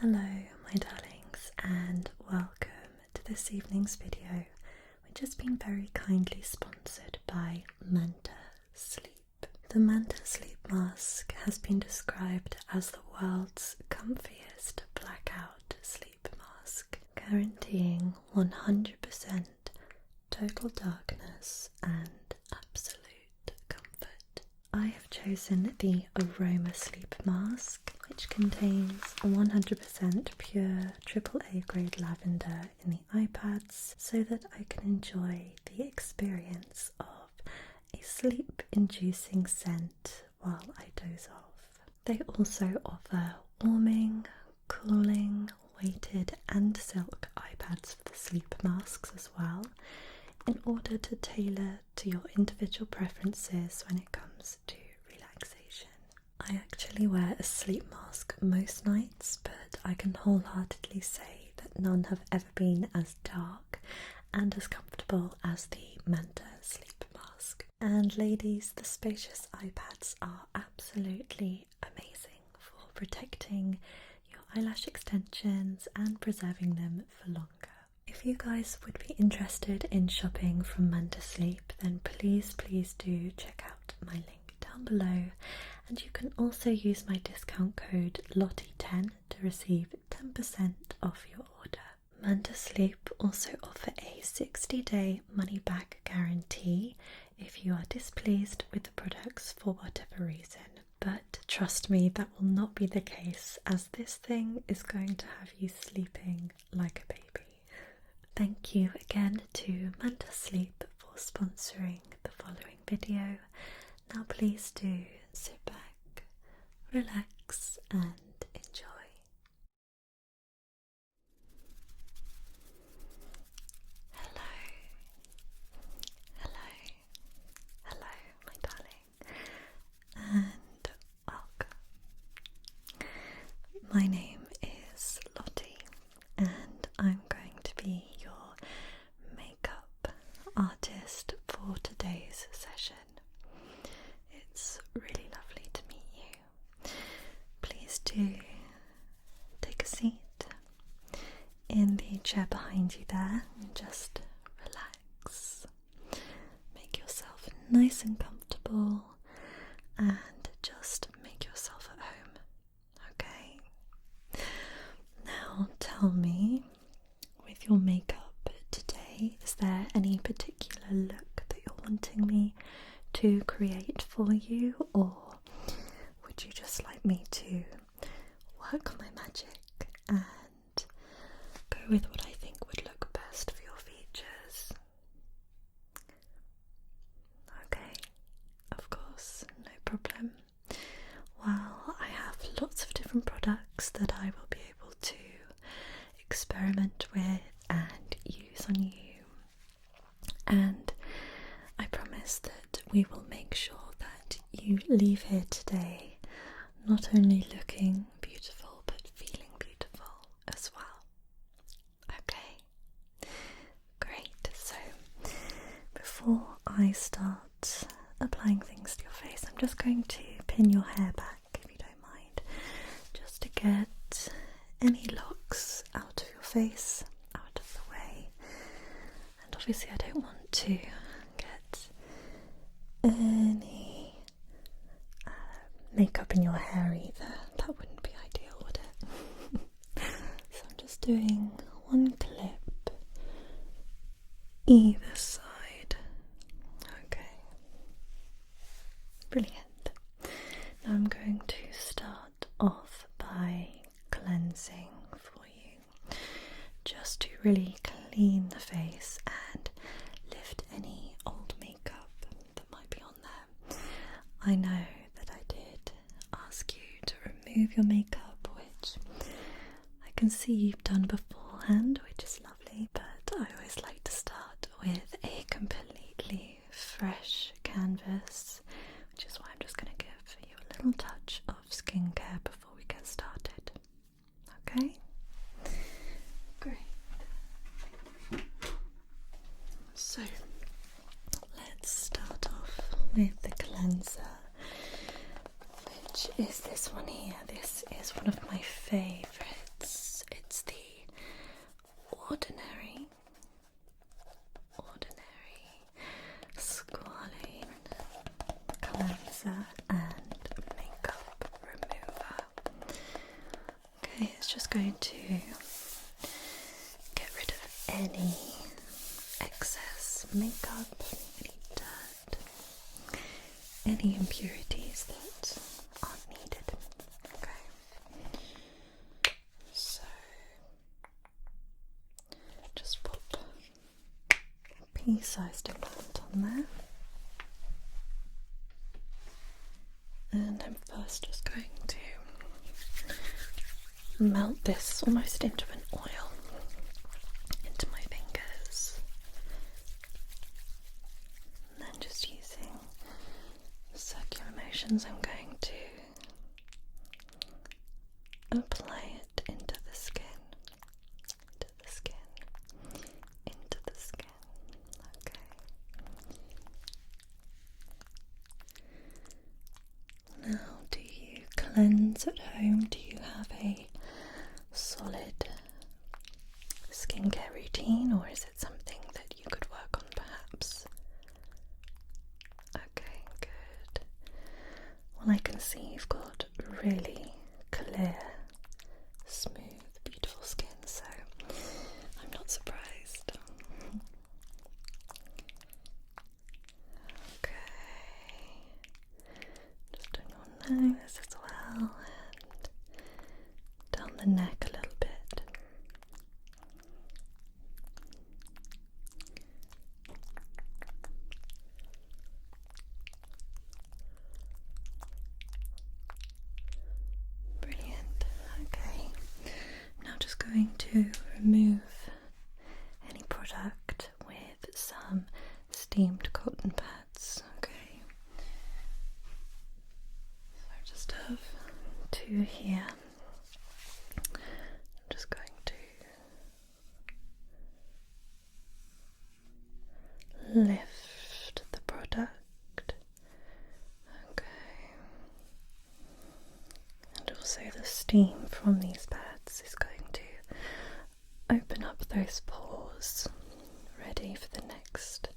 Hello, my darlings, and welcome to this evening's video, which has been very kindly sponsored by Manta Sleep. The Manta Sleep Mask has been described as the world's comfiest blackout sleep mask, guaranteeing 100% total darkness and absolute comfort. I have chosen the Aroma Sleep Mask, which contains 100% pure AAA grade lavender in the eye pads so that I can enjoy the experience of a sleep inducing scent while I doze off. They also offer warming, cooling, weighted, and silk eye pads for the sleep masks as well in order to tailor to your individual preferences when it comes to relaxation. I actually wear a sleep mask most nights, but I can wholeheartedly say that none have ever been as dark and as comfortable as the Manta sleep mask. And ladies, the spacious iPads are absolutely amazing for protecting your eyelash extensions and preserving them for longer. If you guys would be interested in shopping from Munda Sleep, then please, please do check out my link down below. And you can also use my discount code LOTTIE10 to receive 10% off your order. Munda Sleep also offer a 60 day money back guarantee if you are displeased with the products for whatever reason but trust me, that will not be the case as this thing is going to have you sleeping like a baby. Thank you again to Manta for sponsoring the following video. Now, please do sit back, relax, and enjoy. Hello, hello, hello, my darling and welcome. My name is Lottie, and I'm going to be your makeup artist for today's session. It's really lovely to meet you. Please do take a seat in the chair behind you there and just relax. Make yourself nice and comfortable and just make yourself at home, okay? Now tell me, with your makeup today, is there any particular look that you're wanting me to create for you, or would you just like me to work my magic and go with what I think would look best for your features. Okay, of course, no problem. Well, I have lots of different products that I will be able to experiment with and use on you, and I promise that we will make sure that you leave here today not only looking beautiful but feeling beautiful as well. Okay, great. So, before I start applying things to your face, I'm just going to pin your hair back if you don't mind, just to get any locks out of your face, out of the way. And obviously, I don't want to gets any uh, makeup in your hair either. That wouldn't be ideal, would it? so I'm just doing one clip either side. Okay. Brilliant. Now I'm going to start off by cleansing for you just to really clean the face and lift any old makeup that might be on there. I know that I did ask you to remove your makeup, which I can see you've done beforehand, which is lovely, but I always like to start with a completely fresh canvas, which is why I'm just going to give you a little touch of skincare before we get started. Okay? Great. So let's start off with the cleanser, which is this one here. This is one of my favourites. It's the ordinary, ordinary squalene cleanser and makeup remover. Okay, it's just going to get rid of any excess makeup, any dirt, any impurities that aren't needed. Okay, so just pop pea-sized amount on there. And I'm first just going to melt this almost into an oil into my fingers. And then just using circular motions, I'm going to apply it into the skin into the skin, into the skin, okay. Now, do you cleanse at home? Do you have a solid skincare routine, or is it something that you could work on perhaps? Okay, good. Well, I can see you've got really clear smooth, beautiful skin, so I'm not surprised. Okay, just doing your nose as well and down the neck a little bit. Brilliant. Okay. I'm now just going to remove any product with some steamed cotton pads. Okay. So I just have two here. I'm just going to lift the product. Okay. And also, the steam from these pads is going to open up those pores, ready for the next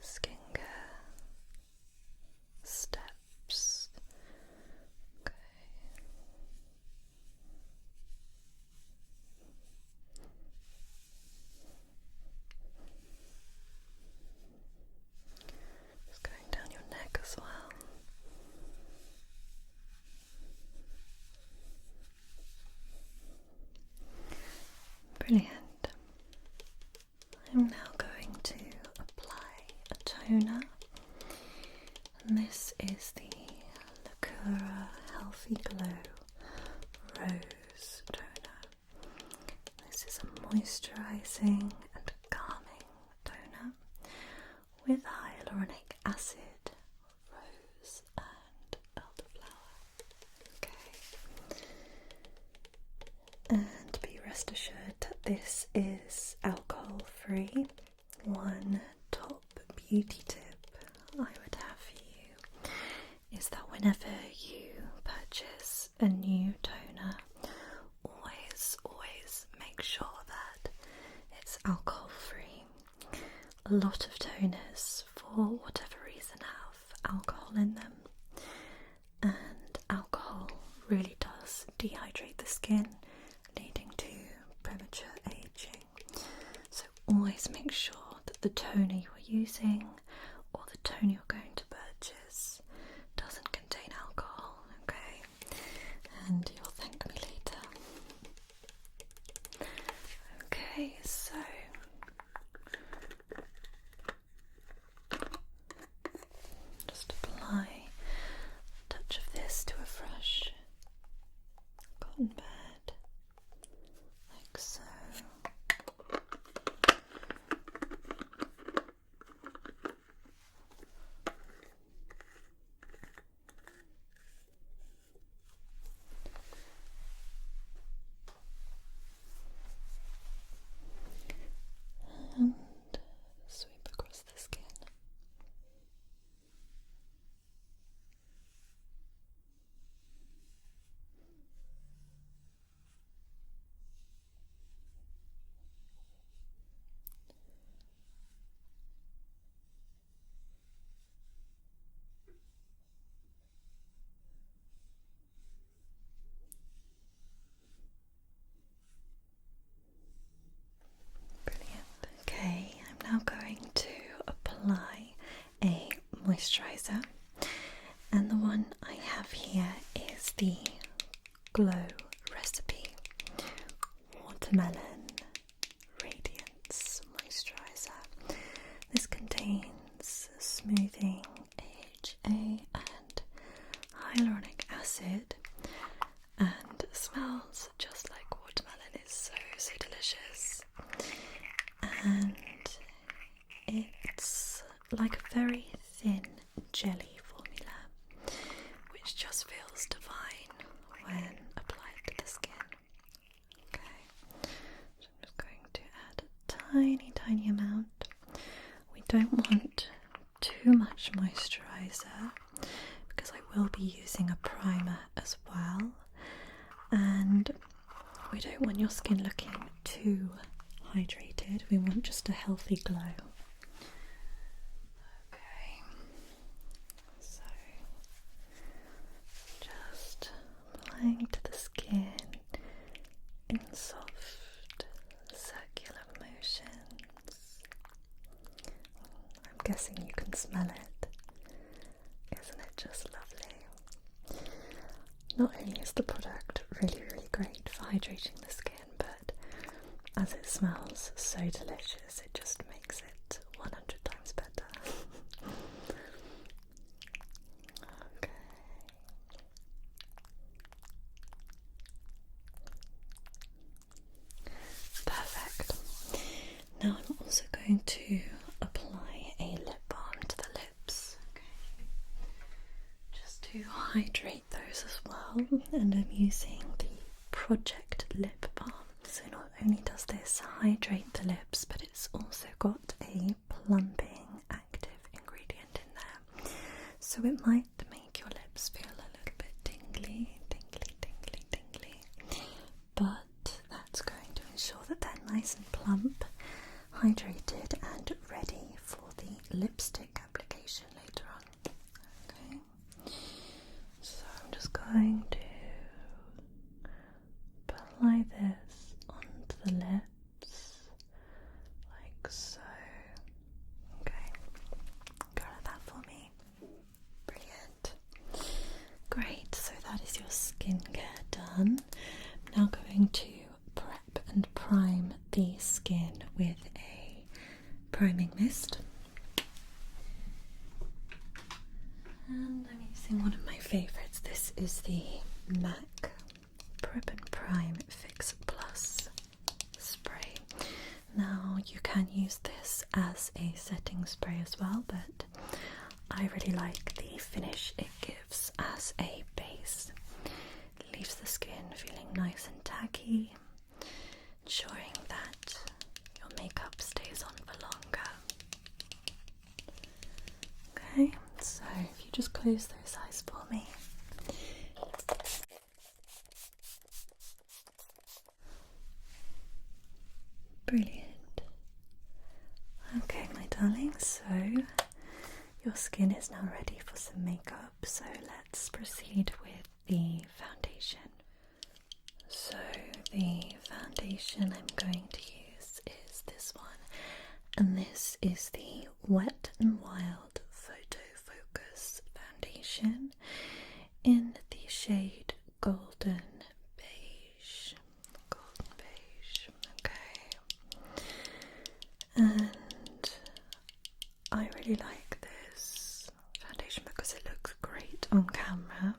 skincare steps. Okay. Just going down your neck as well. Brilliant. I'm now going to apply a toner, and this is the Lakura Healthy Glow Rose Toner. This is a moisturizing and calming toner with hyaluronic acid, rose, and elderflower. Okay. And be rest assured that this is alcohol free. One top top beauty tip I would have for you is that whenever you purchase a new toner, always, always make sure that it's alcohol free. A lot of toners, for whatever reason, have alcohol in them, and alcohol really does dehydrate the skin, leading to premature aging so always make sure that the toner you are using or the toner you're going to purchase doesn't contain alcohol, okay? And you'll thank me later. Okay, so. Just apply touch of this to a fresh cotton pad like so. And sweep across the skin. Brilliant. Okay, I'm now going to apply a moisturizer, and the one I have here is the Glow Recipe Watermelon Radiance Moisturizer. This contains smoothing HA and hyaluronic acid and smells just like watermelon. It's so so delicious and it's like a very thin jelly formula which just feels divine when applied to the skin. Okay, so I'm just going to add a tiny, tiny amount. We don't want too much moisturizer because I will be using a primer as well, and we don't want your skin looking too hydrated, we want just a healthy glow. Okay, so just applying to the skin in soft circular motions. I'm guessing you can smell it. Isn't it just lovely? Not only is the product really, really great for hydrating the skin, but as it smells so delicious, it just makes it 100 times better. okay. Perfect. Now I'm also going to apply a lip balm to the lips, Just to hydrate those as well. And I'm using the Project Lip Balm. So not only does this hydrate the lips, but it's also got a plumping active ingredient in there. So it might make your lips feel a little bit tingly, tingly, tingly, tingly but that's going to ensure that they're nice and plump, hydrated, and ready for the lipstick application later on. Okay, so I'm just going to apply this onto the lips like so. Okay, color that for me. Brilliant. Great, so that is your skincare done. I'm now going to prep and prime the skin with a priming mist. And I'm using one of my favourites. This is the MAC Prep and Prime Fix Plus spray. Now, you can use this as a setting spray as well, but I really like the finish it gives as a base. It leaves the skin feeling nice and tacky, ensuring that your makeup stays on for longer. Okay, so if you just close those eyes for me. Brilliant. Okay, my darling, so your skin is now ready for some makeup, so let's proceed with the foundation. So, the foundation I'm going to use is this one, and this is the Wet and Wild Photo Focus Foundation in the shade Golden Beige golden beige, okay. And I really like this foundation because it looks great on camera.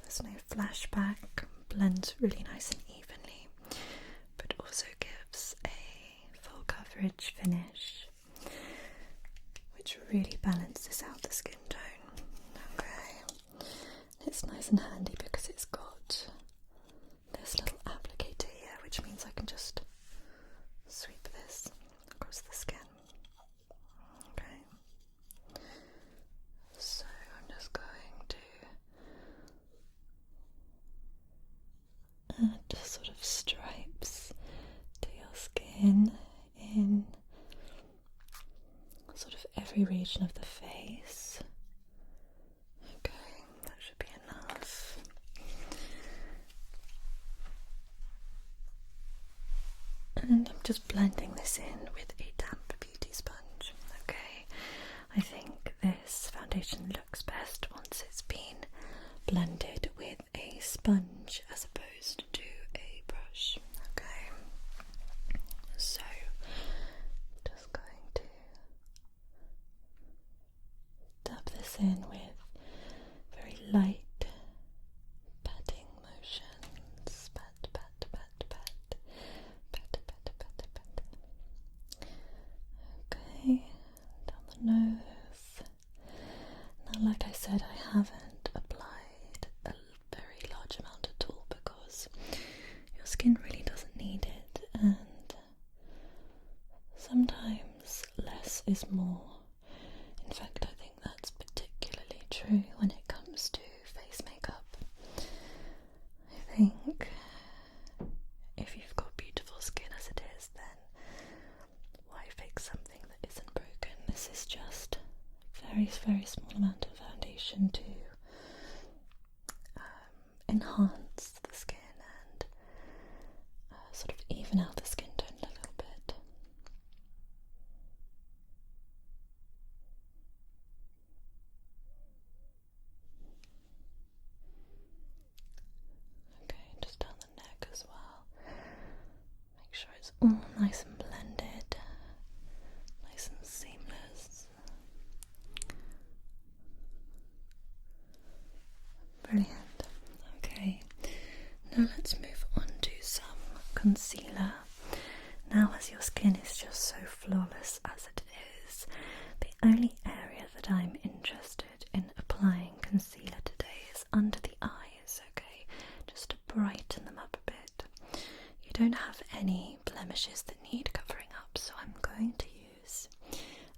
There's no flashback, blends really nice and evenly, but also gives a full coverage finish, which really balances out the skin tone. Okay, it's nice and handy because it's got this little applicator here, which means I can just sweep this across the skin. Okay. So I'm just going to add sort of stripes to your skin in sort of every region of the face. Okay, that should be enough. And I'm just blending this in with a damp beauty sponge. Okay, I think this foundation looks best once it's been blended with a sponge as opposed to a brush. Okay, so just going to dab this in with very light patting motions. Pat, pat, pat, pat, pat, pat, pat, pat. Okay, down the nose. Now, like I said, I haven't applied a very large amount at all because your skin really doesn't need it, and sometimes less is more. In fact, I think that's particularly true when it comes to face makeup. I think if you've got beautiful skin as it is, then why fix something that isn't broken? This is just a very, very small amount of foundation to um, enhance the skin and uh, sort of even out the skin tone a little bit. Okay, just down the neck as well. Make sure it's all nice and blended, nice and seamless. Brilliant. Okay, now let's move on to some concealer. Now, as your skin is just so flawless as it is, the only area that I'm interested in applying concealer today is under the eyes, okay? Just to brighten them up a bit. You don't have any blemishes that need covering up, so I'm going to use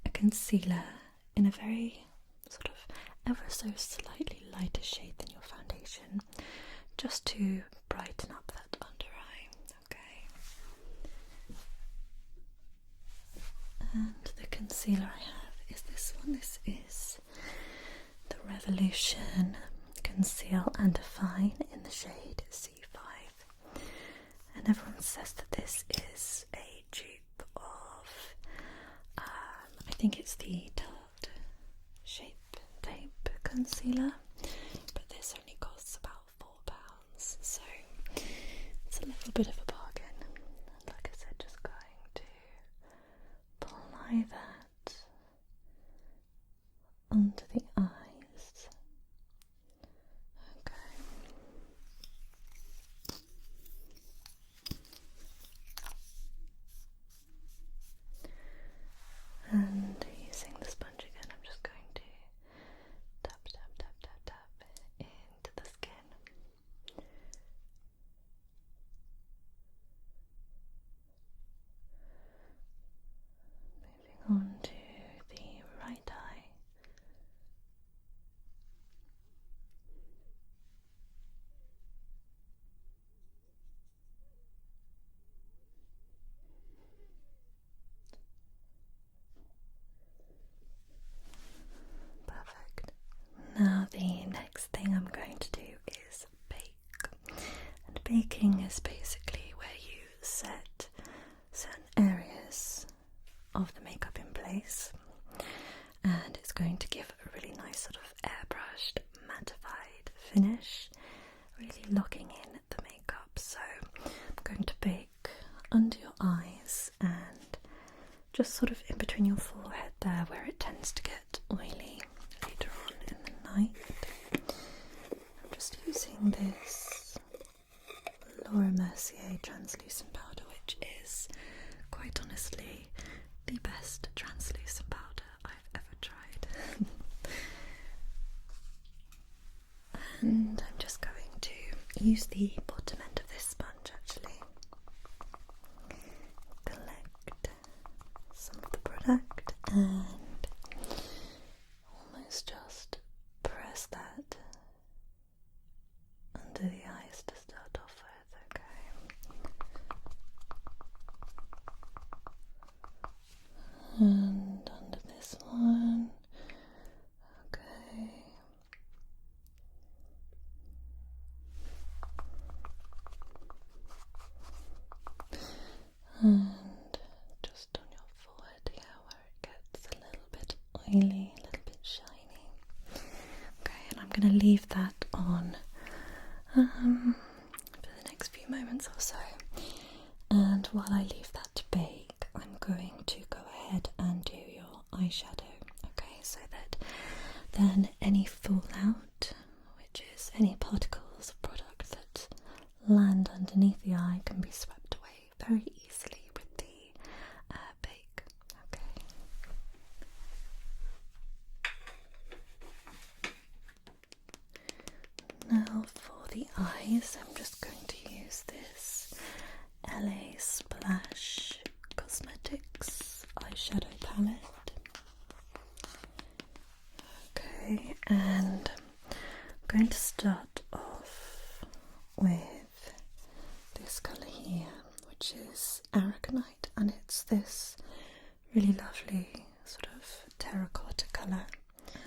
a concealer in a very sort of ever so slightly lighter shade than your foundation just to brighten up that under eye, okay? And the concealer I have is this one. This is the Revolution Conceal and Define in the shade and everyone says that this is a dupe of, um, I think it's the Tarte Shape Tape Concealer, but this only costs about £4, so it's a little bit of a bargain. like I said, just going to apply that under the eyes. Okay. And using the sponge again, I'm just going to tap, tap, tap, tap, tap into the skin. Moving on to the right eye. Perfect. Now, the next thing I'm going to do is bake. And baking is basically where you set certain areas of the makeup in place and it's going to give a really nice sort of airbrushed mattified finish really locking in the makeup so I'm going to bake under your eyes and just sort of in between your forehead there where it tends to get oily later on in the night I'm just using this Laura Mercier translucent powder, which is quite honestly the best translucent powder I've ever tried. and I'm just going to use the bottom end of this sponge actually. Collect some of the product and almost just press that under the eyes to start off with, okay? And under this one, okay. And just on your forehead here where it gets a little bit oily, a little bit shiny. Okay, and I'm going to leave that on um, for the next few moments or so. And while I leave that to bake, I'm going to go ahead and do your eyeshadow, okay, so that then any fallout, which is any particles of product that land underneath the eye can be swept away very easily with the uh, Okay. Now for the eyes, I'm just going to use this LA Splash Cosmetics eyeshadow palette. Okay, and I'm going to start off with this colour here, which is Aragonite, and it's this really lovely sort of terracotta colour.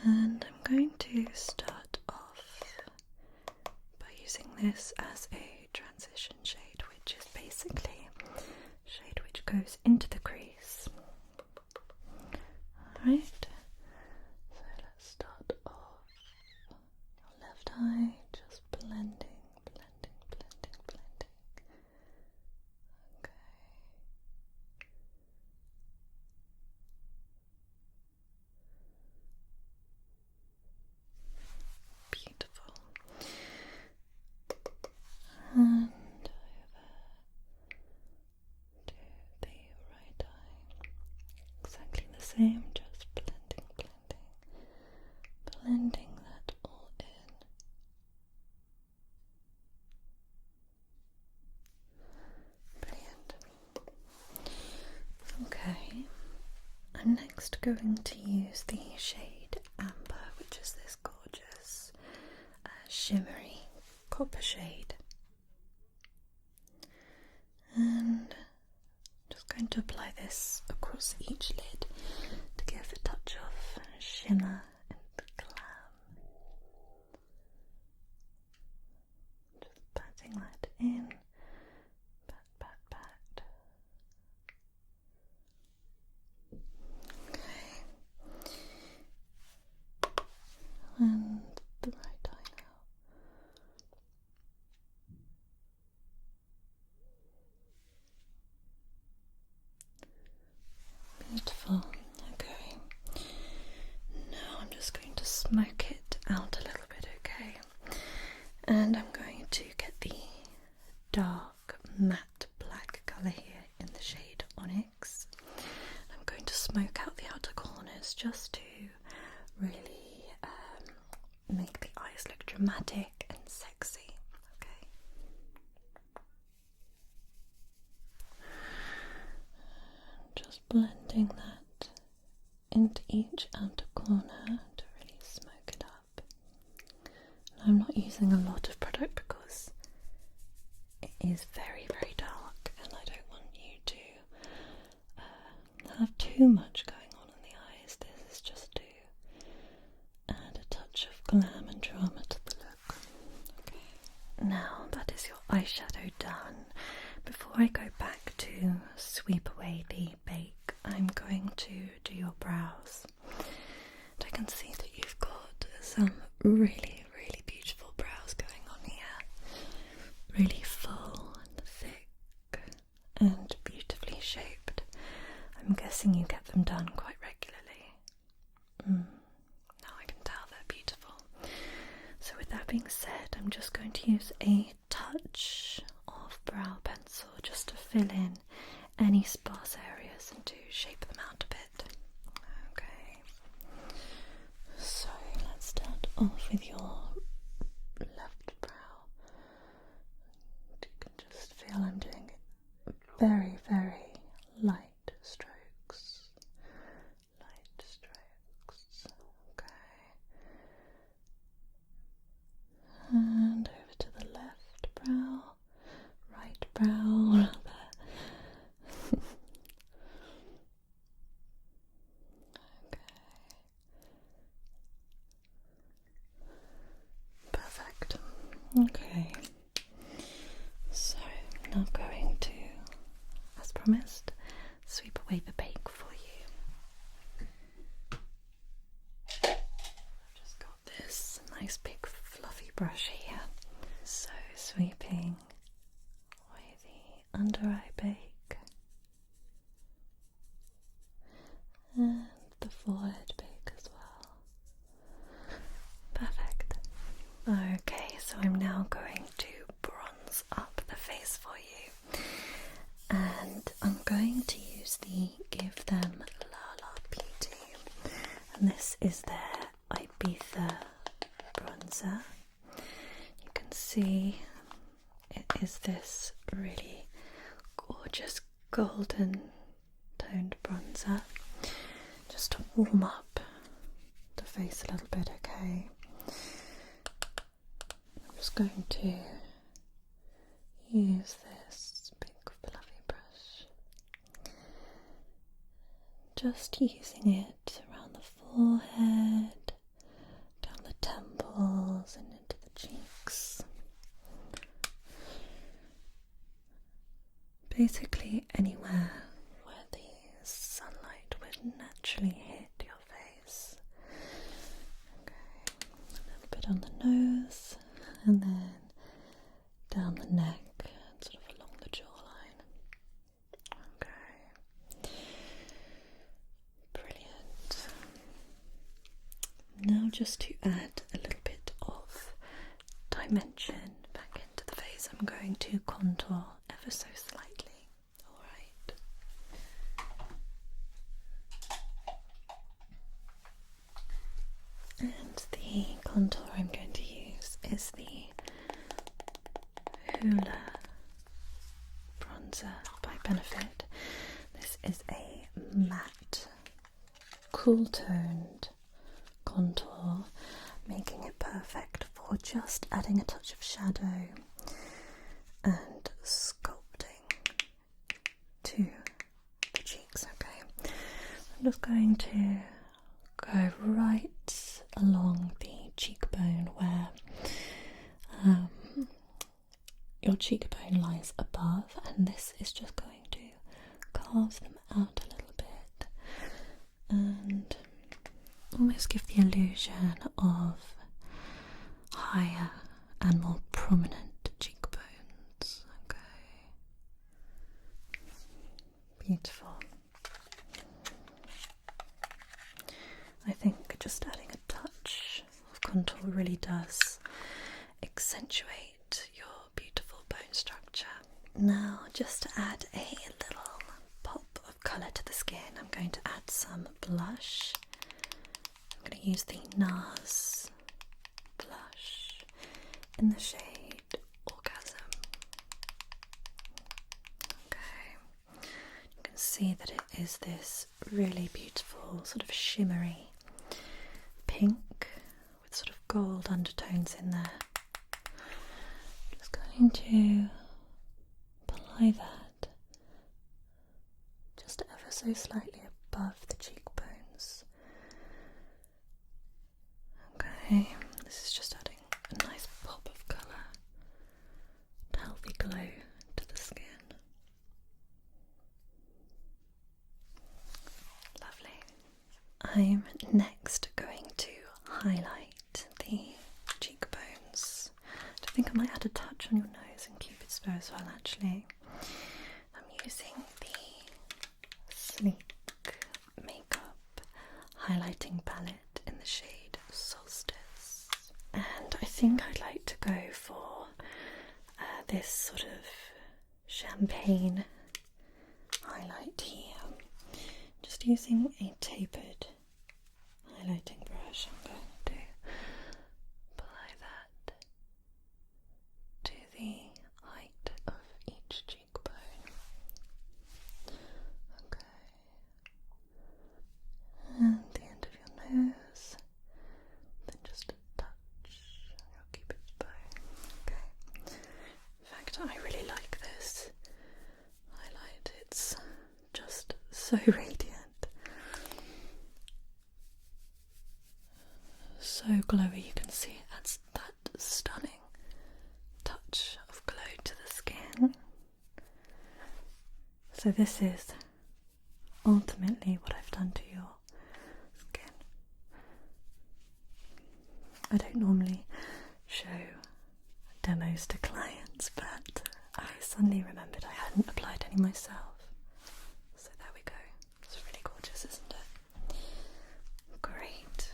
And I'm going to start off by using this as a transition shade, which is basically shade which goes into the crease Alright, so let's start off your left eye, just blending, blending, blending, blending. Okay. Beautiful. And over to the right eye. Exactly the same, just blending, blending, blending that all in. Brilliant. Okay, I'm next going to use the shade Amber, which is this gorgeous uh, shimmery copper shade. And just going to apply this across each lid to give a touch of shimmer and glam. Just patting that in. Pat, pat, pat. Okay and the right eye now. Beautiful. Okay. Now I'm just going to smoke it out a little bit, okay? And I'm going to get the dark matte black colour here in the shade on it. I'm going to smoke out the outer corners just to really um, make the eyes look dramatic and sexy. Okay. Just blending that into each outer corner to really smoke it up. I'm not using a lot of product because it is very, very dark, and I don't want you to uh, have too much going on in the eyes. This is just to add a touch of glam and drama to the look. Okay. Now that is your eyeshadow done. Before I go back to sweep away the bake, I'm going to do your brows. And I can see that you've got some really really beautiful brows going on here. Really full and thick and beautifully shaped. I'm guessing you get them done quite regularly. Hmm. Now I can tell they're beautiful. So, with that being said, I'm just going to use a touch of brow pencil just to fill in any sparse areas and to shape them out a bit. Okay. So let's start off with your left brow. you can just feel I'm doing very, very light strokes. Light strokes. Okay. And over to the left brow, right brow, Okay. Perfect. Okay. So now I'm going to, as promised, sweep away the bake for you. I've just got this nice big fluffy brush here. So sweeping away the under eye bake and the forehead bake as well. Perfect. Okay, so I'm now going to bronze up the face for you, and I'm going to use the Give Them La La Beauty, and this is their Ibiza bronzer. You can see it is this really gorgeous golden toned bronzer. Just to warm up the face a little bit, okay? I'm just going to use this big fluffy brush. Just using it around the forehead, down the temples, and into the cheeks. Basically, anywhere where the sunlight would naturally hit your face. Okay, a little bit on the nose, and then down the neck, and sort of along the jawline. Okay. Brilliant. Now, just to add a little bit of dimension back into the face, I'm going to contour ever so slightly. All right. And the contour I'm going to use is the Hoola bronzer by Benefit. This is a matte, cool toned contour, making it perfect for just adding a touch of shadow and sculpting to the cheeks. Okay, I'm just going to go right along the cheekbone where um, your cheekbone lies above, and this is just going to carve them out a little bit and almost give the illusion of higher and more prominent cheekbones. Okay. Beautiful. I think just adding a touch of contour really does accentuate your beautiful bone structure. Now, just to add a little pop of colour to the skin, I'm going to add some blush. I'm going to use the NARS blush in the shade Orgasm. Okay. You can see that it is this really beautiful, sort of shimmery pink with sort of gold undertones in there. just going to apply that just ever so slightly above the cheekbones. Okay, this is just adding a nice pop of colour healthy glow to the skin. Lovely. I'm next going to highlight the cheekbones. I think I might add a touch on your nose and cupid's bow as well actually. I'm using the Sleek Makeup Highlighting Palette in the shade Solstice. And I think I'd like to go for uh, this sort of champagne highlight here. Just using a tapered highlighting brush, I'm going to apply that to the height of each cheekbone. Okay and the end of your nose, then just a touch, I'll keep it by. Okay. In fact, I really like this highlight. It's just so radiant, so glowy. You can see it adds that stunning touch of glow to the skin. So, this is ultimately what I've done to your skin. I don't normally show demos to clients, but I suddenly remembered I hadn't applied any myself. So there we go. It's really gorgeous, isn't it? Great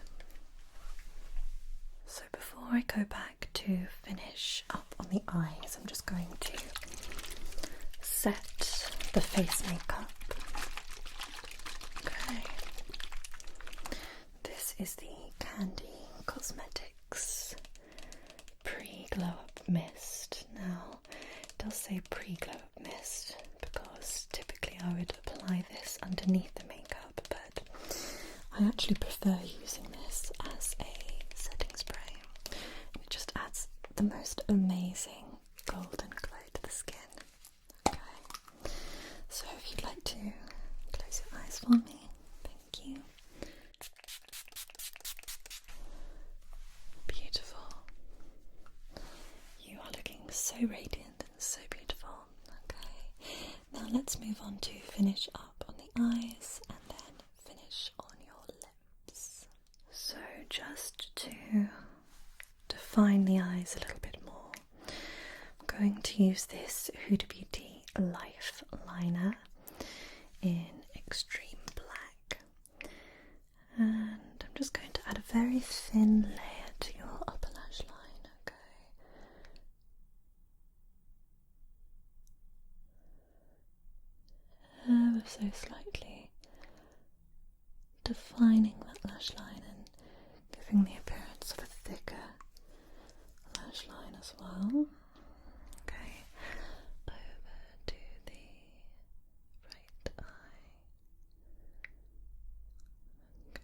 before I go back to finish up on the eyes, I'm just going to set the face makeup. Okay. This is the Candy Cosmetics pre glow up mist. Now, it does say pre glow up mist because typically I would apply this underneath the makeup, but I actually prefer using this as a setting spray. It just adds the most amazing golden glow to the skin. Okay, so if you'd like to close your eyes for me, thank you. Beautiful. You are looking so radiant and so beautiful. Okay, now let's move on to finish up on the eyes and then finish on your lips. So, just to define the eyes a little bit more, I'm going to use this Huda Beauty Life Liner in Extreme Black, and I'm just going to add a very thin layer to your upper lash line. Okay, uh, so slightly defining that lash line and giving the appearance of a thicker lash line as well. Okay, over to the right eye. Okay,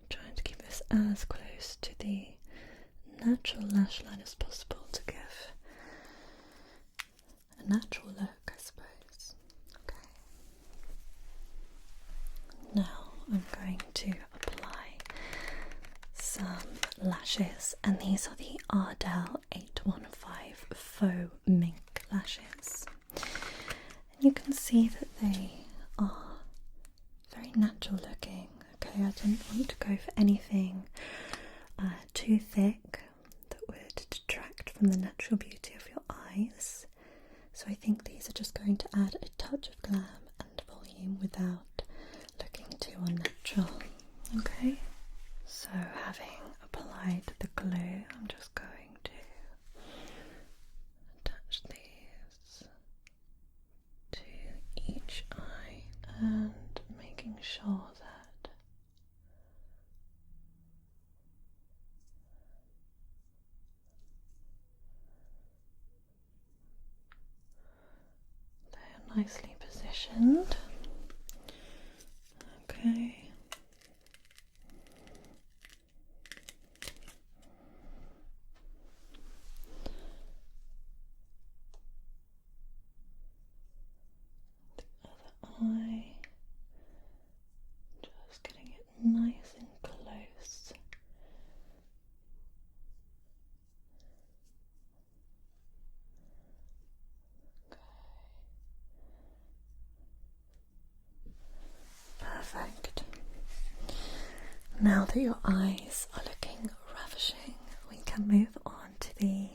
I'm trying to keep this as close to the natural lash line as possible to give a natural look, I suppose. Okay. Now I'm going to apply some lashes, and these are the Ardell 815 Faux Mink lashes. And you can see that they are very natural looking. Okay, I didn't want to go for anything uh, too thick that would detract from the natural beauty of your eyes. So I think these are just going to add a touch of glam and volume without looking too unnatural. Okay, so having applied the glue, I'm just going to attach the to each eye and making sure that they're nicely positioned. Okay. The other eye, just getting it nice and close. Okay. Perfect. Now that your eyes are looking ravishing, we can move on to the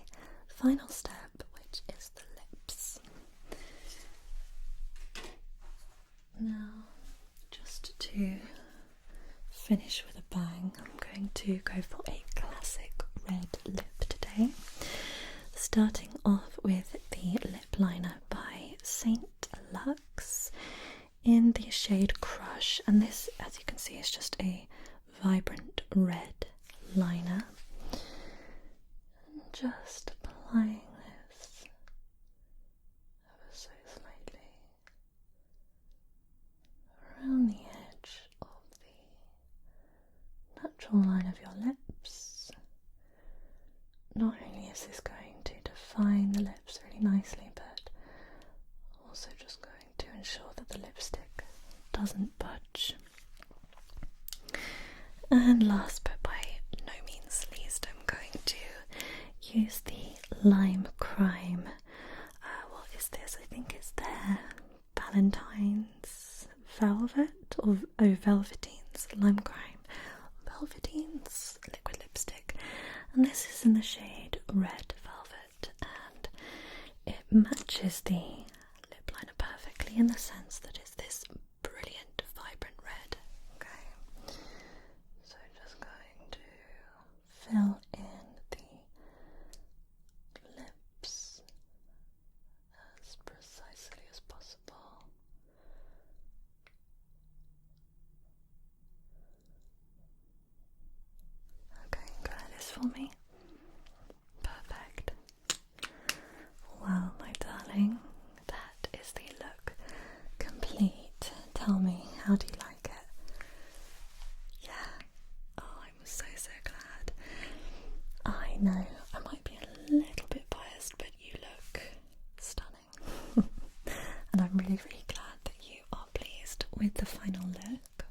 final step, which is the lips. Now, just to finish with a bang, I'm going to go for a classic red lip today. Starting off with the lip liner by Saint Lux in the shade Crush, and this, as you can see, is just a vibrant red liner. And just applying this ever so slightly around the edge of the natural line of your lips not only is this going to define the lips really nicely, but also just going to ensure that the lipstick doesn't budge. And last but by no means least, I'm going to use the Lime Crime. Uh, what is this? I think it's there Valentine's Velvet or oh, Velvetines, Lime Crime. Velvetines liquid lipstick, and this is in the shade Red Velvet, and it matches the lip liner perfectly in the sense that it's this brilliant, vibrant red. Okay, so just going to fill in the lips as precisely as possible. Okay, grab this for me. Perfect. Well, my darling, that is the look complete. Tell me, how do you like it? Yeah. Oh, I'm so so glad. I know I might be a little bit biased, but you look stunning. and I'm really, really glad that you are pleased with the final look.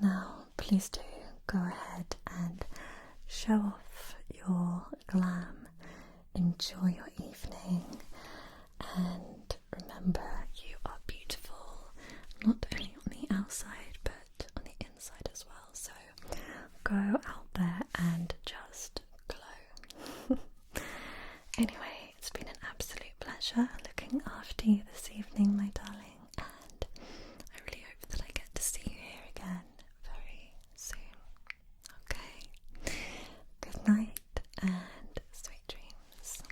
Now, please do go ahead and show off your glam. Enjoy your evening and remember you are beautiful not only on the outside but on the inside as well. So go out there and just glow. Anyway, it's been an absolute pleasure looking after you this evening, my darling, and I really hope that I get to see you here again very soon. Okay? Good night and sweet dreams.